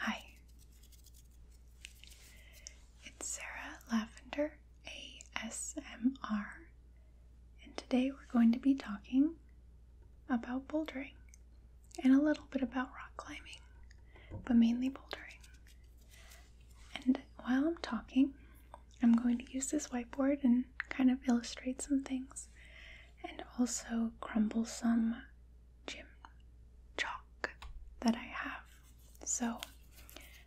Hi. It's Sarah Lavender ASMR, and today we're going to be talking about bouldering and a little bit about rock climbing, but mainly bouldering. And while I'm talking, I'm going to use this whiteboard and kind of illustrate some things and also crumblesome gym chalk that I have. So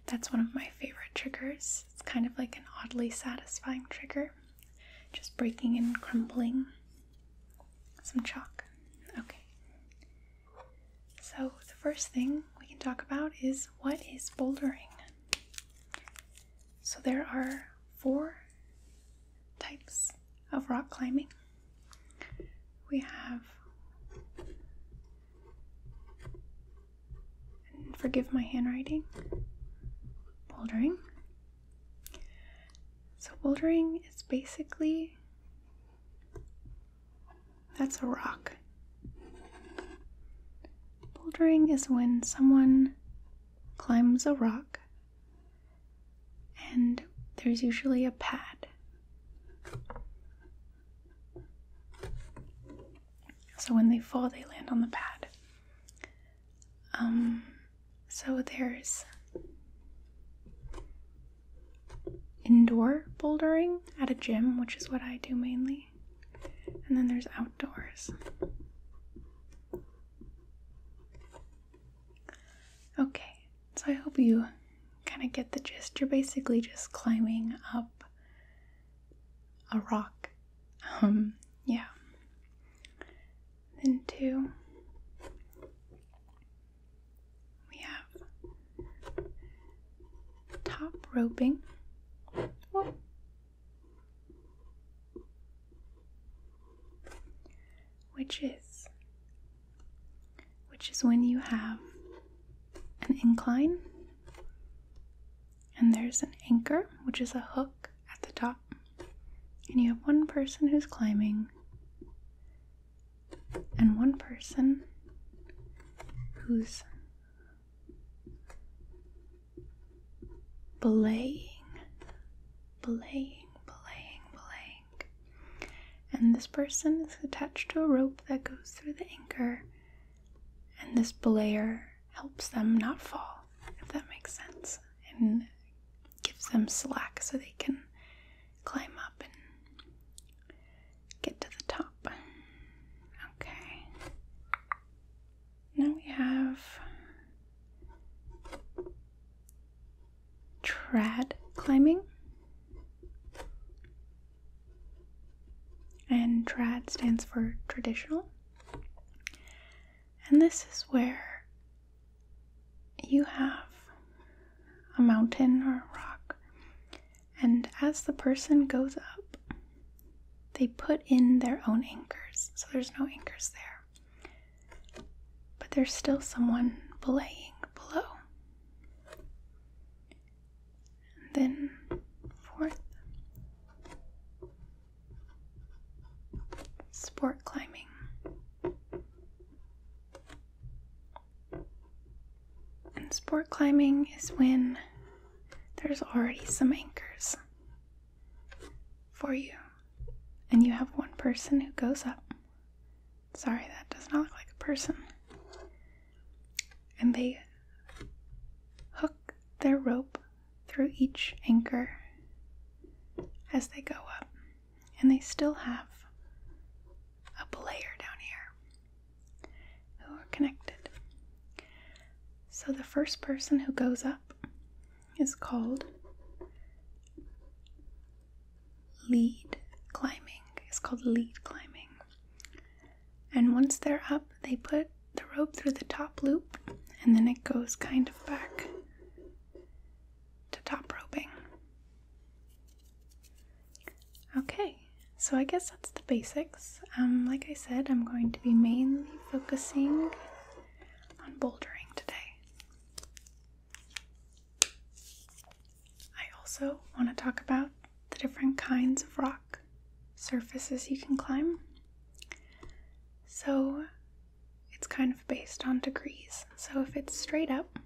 that's one of my favorite triggers. It's kind of like an oddly satisfying trigger, just breaking and crumbling some chalk. Okay. So the first thing we can talk about is what is bouldering. So there are four types of rock climbing. We have, forgive my handwriting, bouldering. So, bouldering is basically that's a rock. Bouldering is when someone climbs a rock and there's usually a pad. So when they fall, they land on the pad. Um, so there's indoor bouldering at a gym, which is what I do mainly, and then there's outdoors. Okay, so I hope you kind of get the gist. You're basically just climbing up a rock. Um, yeah. Then two, we have top roping. Which is, which is when you have an incline and there's an anchor, which is a hook at the top, and you have one person who's climbing and one person who's belaying, belaying, belaying, belaying. And this person is attached to a rope that goes through the anchor, and this belayer helps them not fall, if that makes sense, and gives them slack so they can climb up and get to the top. Okay. Now we have trad climbing. And trad stands for traditional. And this is where you have a mountain or a rock, and as the person goes up, they put in their own anchors, so there's no anchors there. But there's still someone belaying below. then, fourth, sport climbing. And sport climbing is when there's already some anchors for you. And you have one person who goes up. Sorry, that does not look like a person. And they hook their rope through each anchor as they go up. And they still have a player down here who are connected. So the first person who goes up is called lead climbing. It's called lead climbing. And once they're up, they put the rope through the top loop and then it goes kind of back to top roping. Okay, so I guess that's the basics. Um, like I said, I'm going to be mainly focusing on bouldering today. I also want to talk about the different kinds of rock surfaces you can climb. So it's kind of based on degrees. So if it's straight up,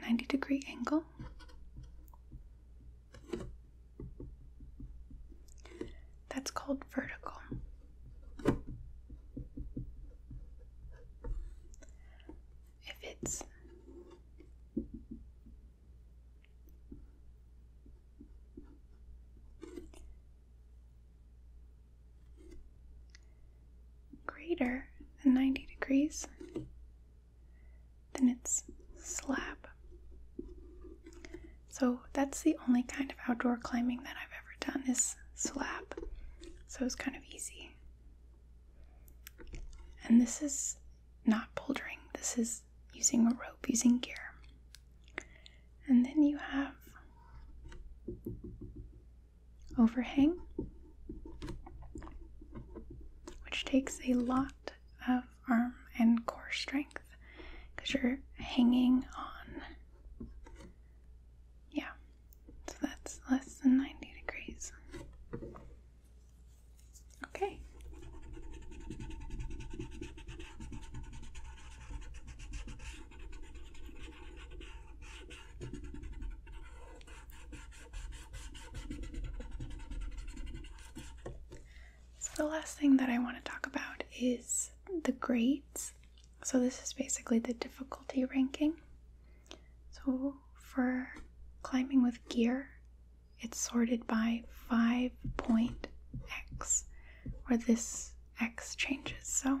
90 degree angle. That's called vertical. If it's greater than 90 degrees, than it's slab. So that's the only kind of outdoor climbing that I've ever done is slab. So it's kind of easy. And this is not bouldering. This is using a rope, using gear. And then you have overhang, which takes a lot of arm and core strength because you're hanging on. Yeah, so that's less than 90 degrees. Okay. So, the last thing that I want to talk about is the grades. So, this is basically the difficulty ranking. So, for climbing with gear, it's sorted by 5 point x, where this x changes. So,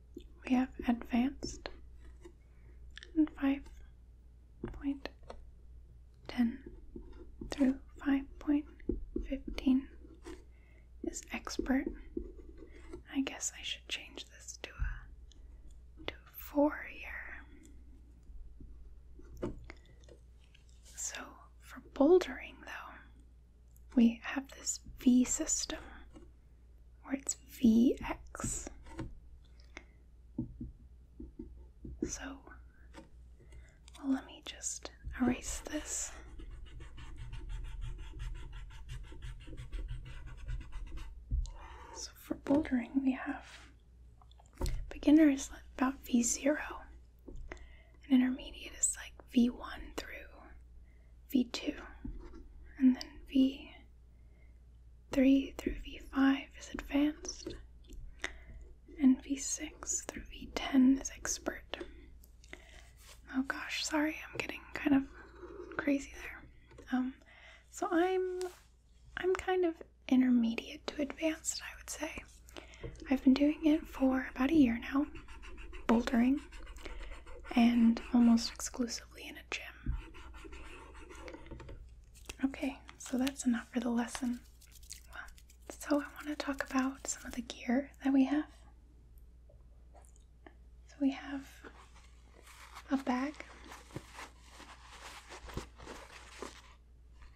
we have advanced and 5.10 through 5.15 is expert. I guess I should change this to a to four year. So for bouldering though, we have this V system or it's Vx. So let me just erase this. So for bouldering, we have beginner is about V0, and intermediate is like V1 through V2, and then V3 through V5 is advanced, and V6 through V10 is expert. Oh gosh, sorry, I'm getting kind of crazy there. Um, so I'm I'm kind of intermediate to advanced, I would say. I've been doing it for about a year now, bouldering, and almost exclusively in a gym. Okay, so that's enough for the lesson. so I want to talk about some of the gear that we have. So we have a bag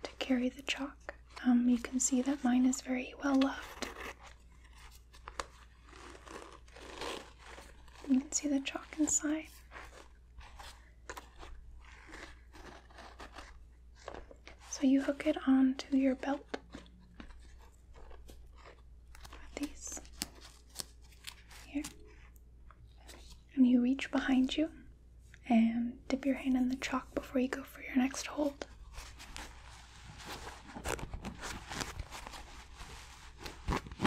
to carry the chalk. Um, you can see that mine is very well loved you can see the chalk inside. So you hook it onto your belt these here, and you reach behind you and dip your hand in the chalk before you go for your next hold.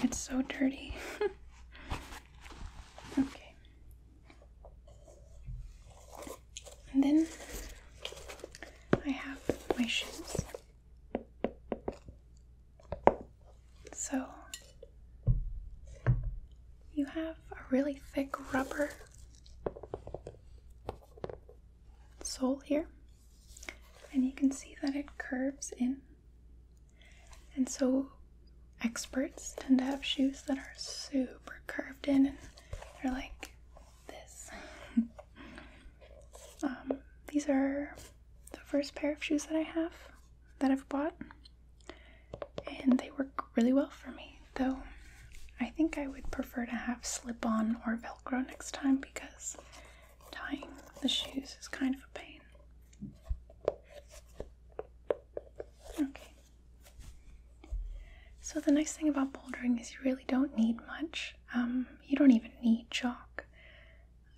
It's so dirty. okay. And then I have my shoes. So you have a really thick rubber sole here and you can see that it curves in. And so experts tend to have shoes that are super curved in they're like this. Um, these are the first pair of shoes that I have that I've bought and they work really well for me though. I think I would prefer to have slip on or velcro next time because tying the shoes is kind of a pain. Okay. So, the nice thing about bouldering is you really don't need much. Um, you don't even need chalk,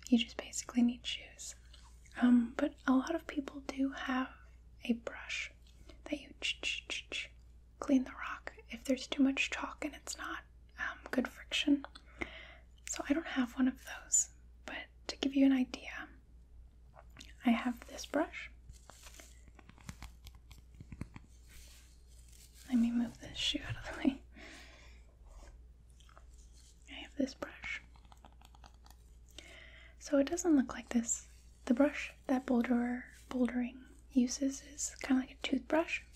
you just basically need shoes. Um, but a lot of people do have a brush that you clean the rock if there's too much chalk and it's not um, good friction. So I don't have one of those, but to give you an idea, I have this brush. Let me move this shoe out of the way. I have this brush. So it doesn't look like this. The brush that boulderer bouldering uses is kind of like a toothbrush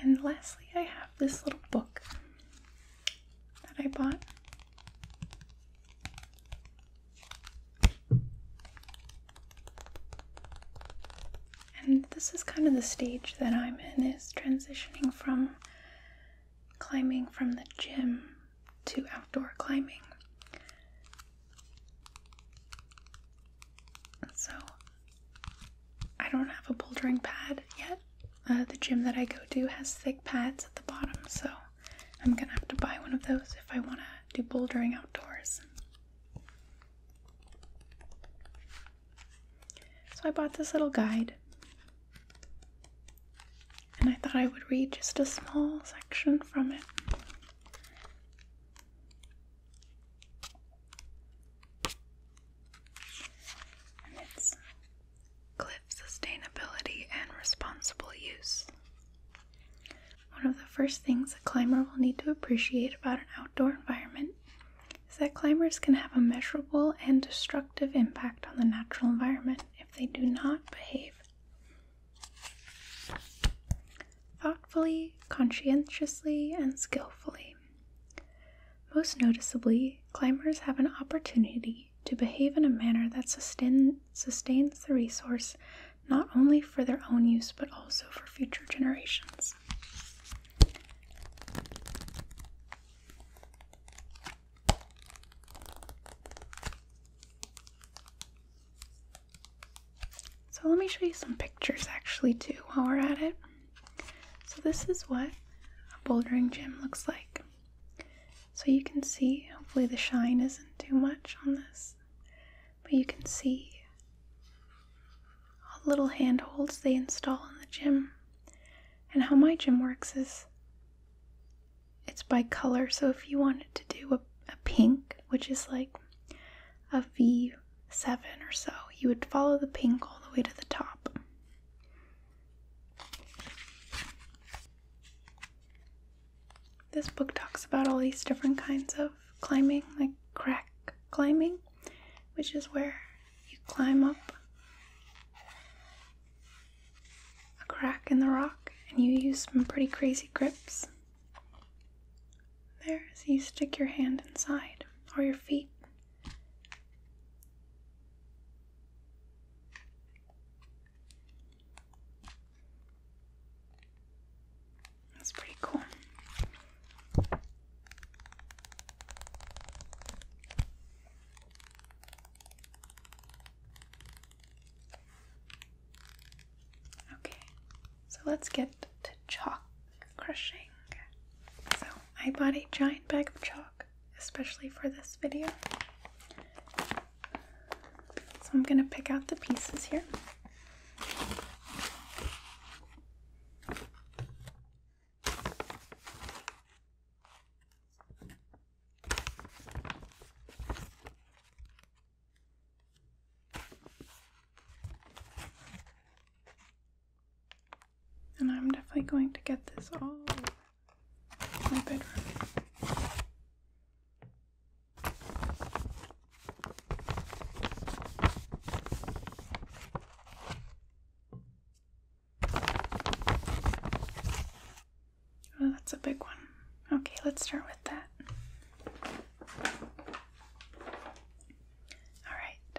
and lastly, I have this little book that I bought. And this is kind of the stage that I'm in is transitioning from climbing from the gym to outdoor climbing. So I don't have a bouldering pad yet. Uh, the gym that I go to has thick pads at the bottom, so I'm gonna have to buy one of those if I want to do bouldering outdoors. So I bought this little guide, and I thought I would read just a small section from it. And it's Cliff Sustainability and Responsible Use. One of the first things a climber will need to appreciate about an outdoor environment is that climbers can have a measurable and destructive impact on the natural environment if they do not behave thoughtfully, conscientiously, and skillfully. Most noticeably, climbers have an opportunity to behave in a manner that sustains the resource not only for their own use but also for future generations. So let me show you some pictures actually too while we're at it. So this is what a bouldering gym looks like. So you can see, hopefully the shine isn't too much on this, but you can see all the little handholds they install in the gym. And how my gym works is it's by color. So if you wanted to do a, a pink, which is like a V seven or so, you would follow the pink all the way to the top. This book talks about all these different kinds of climbing, like crack climbing, which is where you climb up a crack in the rock and you use some pretty crazy grips. There's, you stick your hand inside or your feet that's pretty cool. Okay. So let's get to chalk crushing. So I bought a giant bag of chalk, especially for this video. So I'm going to pick out the pieces here. And I'm definitely going to get this all in my bedroom. Oh, that's a big one. Okay, let's start with that. All right.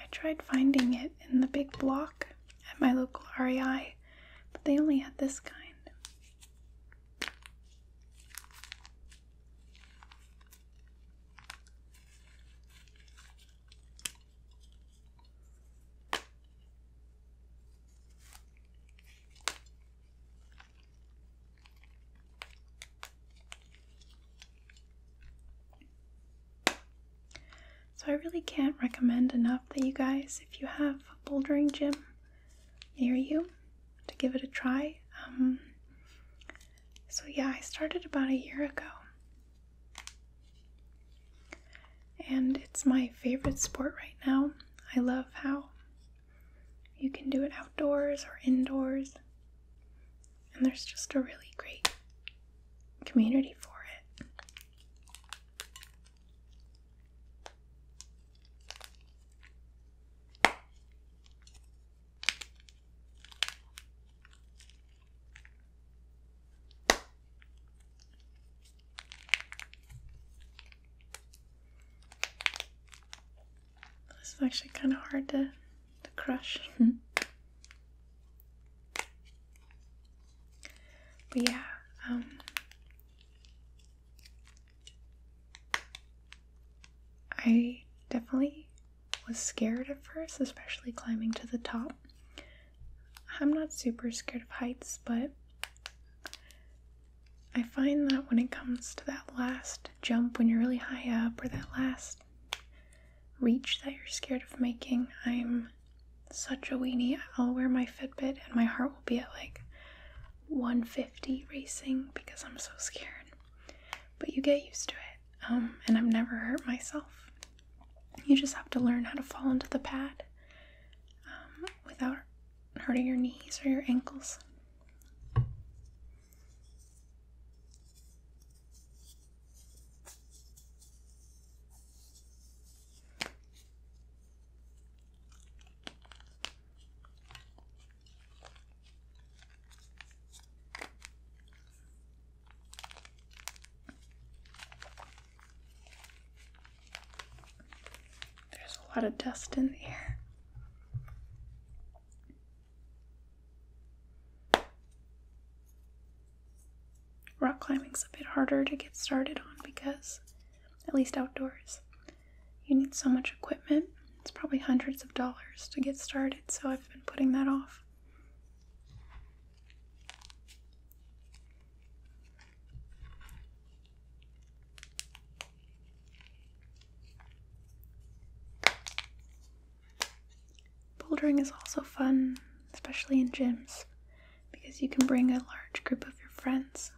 I tried finding it in the big block at my local REI, but they only had this kind. So, I really can't recommend enough that you guys, if you have a bouldering gym near you, to give it a try. Um, so, yeah, I started about a year ago. And it's my favorite sport right now. I love how you can do it outdoors or indoors. And there's just a really great community for it. This is actually kind of hard to, to crush. but yeah, um, I definitely was scared at first, especially climbing to the top. I'm not super scared of heights, but I find that when it comes to that last jump when you're really high up or that last reach that you're scared of making, I'm such a weenie. I'll wear my Fitbit and my heart will be at like 150 racing because I'm so scared. But you get used to it, um, and I've never hurt myself. You just have to learn how to fall into the pad um, without hurting your knees or your ankles. There's a lot of dust in the air. Rock climbing's a bit harder to get started on because, at least outdoors, you need so much equipment. It's probably hundreds of dollars to get started, so I've been putting that off. Bouldering is also fun, especially in gyms, because you can bring a large group of your friends.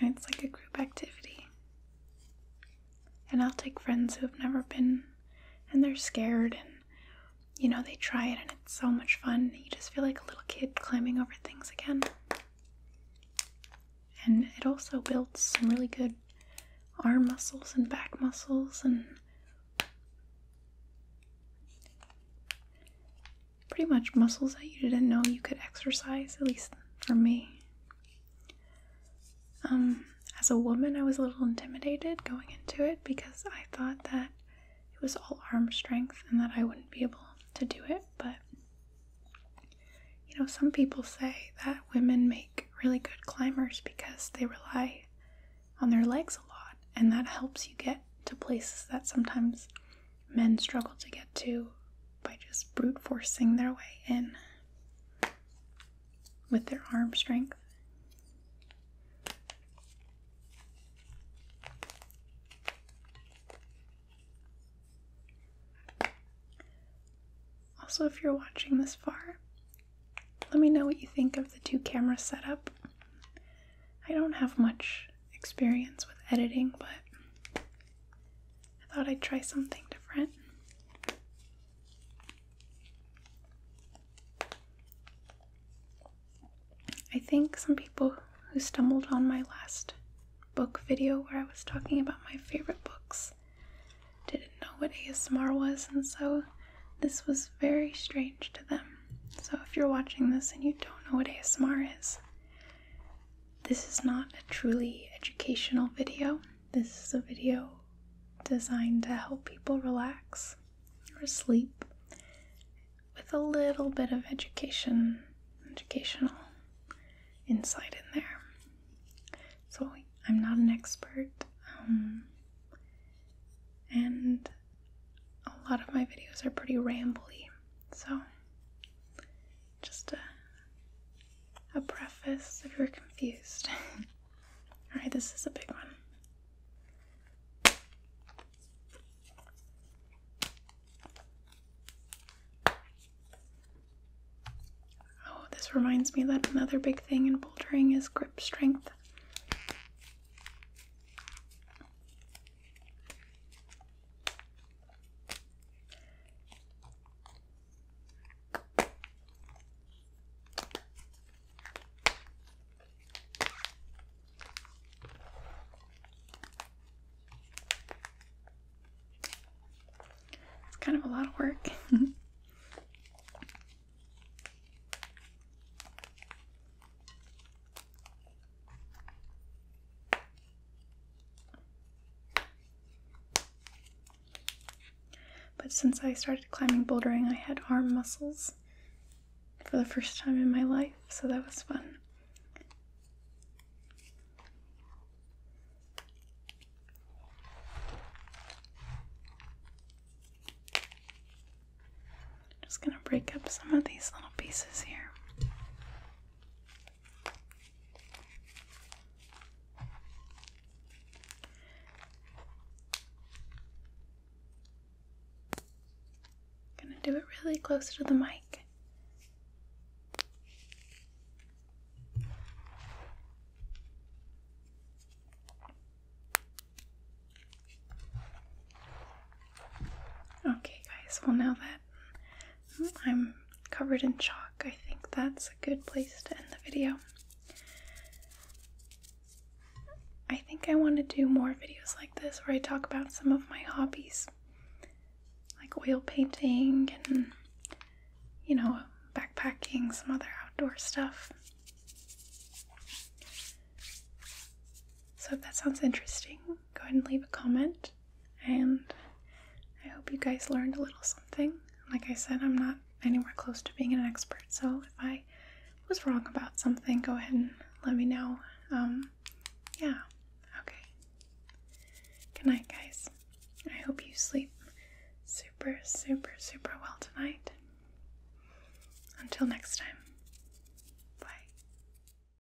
And it's like a group activity. And I'll take friends who have never been and they're scared and you know they try it and it's so much fun. You just feel like a little kid climbing over things again. And it also builds some really good arm muscles and back muscles and pretty much muscles that you didn't know you could exercise, at least for me. Um, as a woman, I was a little intimidated going into it because I thought that it was all arm strength and that I wouldn't be able to do it. But, you know, some people say that women make really good climbers because they rely on their legs a lot, and that helps you get to places that sometimes men struggle to get to by just brute forcing their way in with their arm strength. Also, if you're watching this far, let me know what you think of the two camera setup. I don't have much experience with editing, but I thought I'd try something different. I think some people who stumbled on my last book video where I was talking about my favorite books didn't know what ASMR was, and so this was very strange to them. So, if you're watching this and you don't know what ASMR is, this is not a truly educational video. This is a video designed to help people relax or sleep with a little bit of education, educational insight in there. So I'm not an expert, um, and a lot of my videos are pretty rambly, so just a, a preface if you're confused. Alright, this is a big one. Oh, this reminds me that another big thing in bouldering is grip strength. It's kind of a lot of work. But since I started climbing bouldering, I had arm muscles for the first time in my life, so that was fun. Just gonna break up some of these little pieces here. I'm gonna do it really close to the mic. Okay, guys, well, now that I'm covered in chalk, I think that's a good place to end the video. I think I want to do more videos like this where I talk about some of my hobbies, like oil painting and, you know, backpacking, some other outdoor stuff. So if that sounds interesting, go ahead and leave a comment and I hope you guys learned a little something. Like I said, I'm not anywhere close to being an expert, so if I was wrong about something, go ahead and let me know. Um, yeah, okay. Good night, guys. I hope you sleep super, super, super well tonight. Until next time.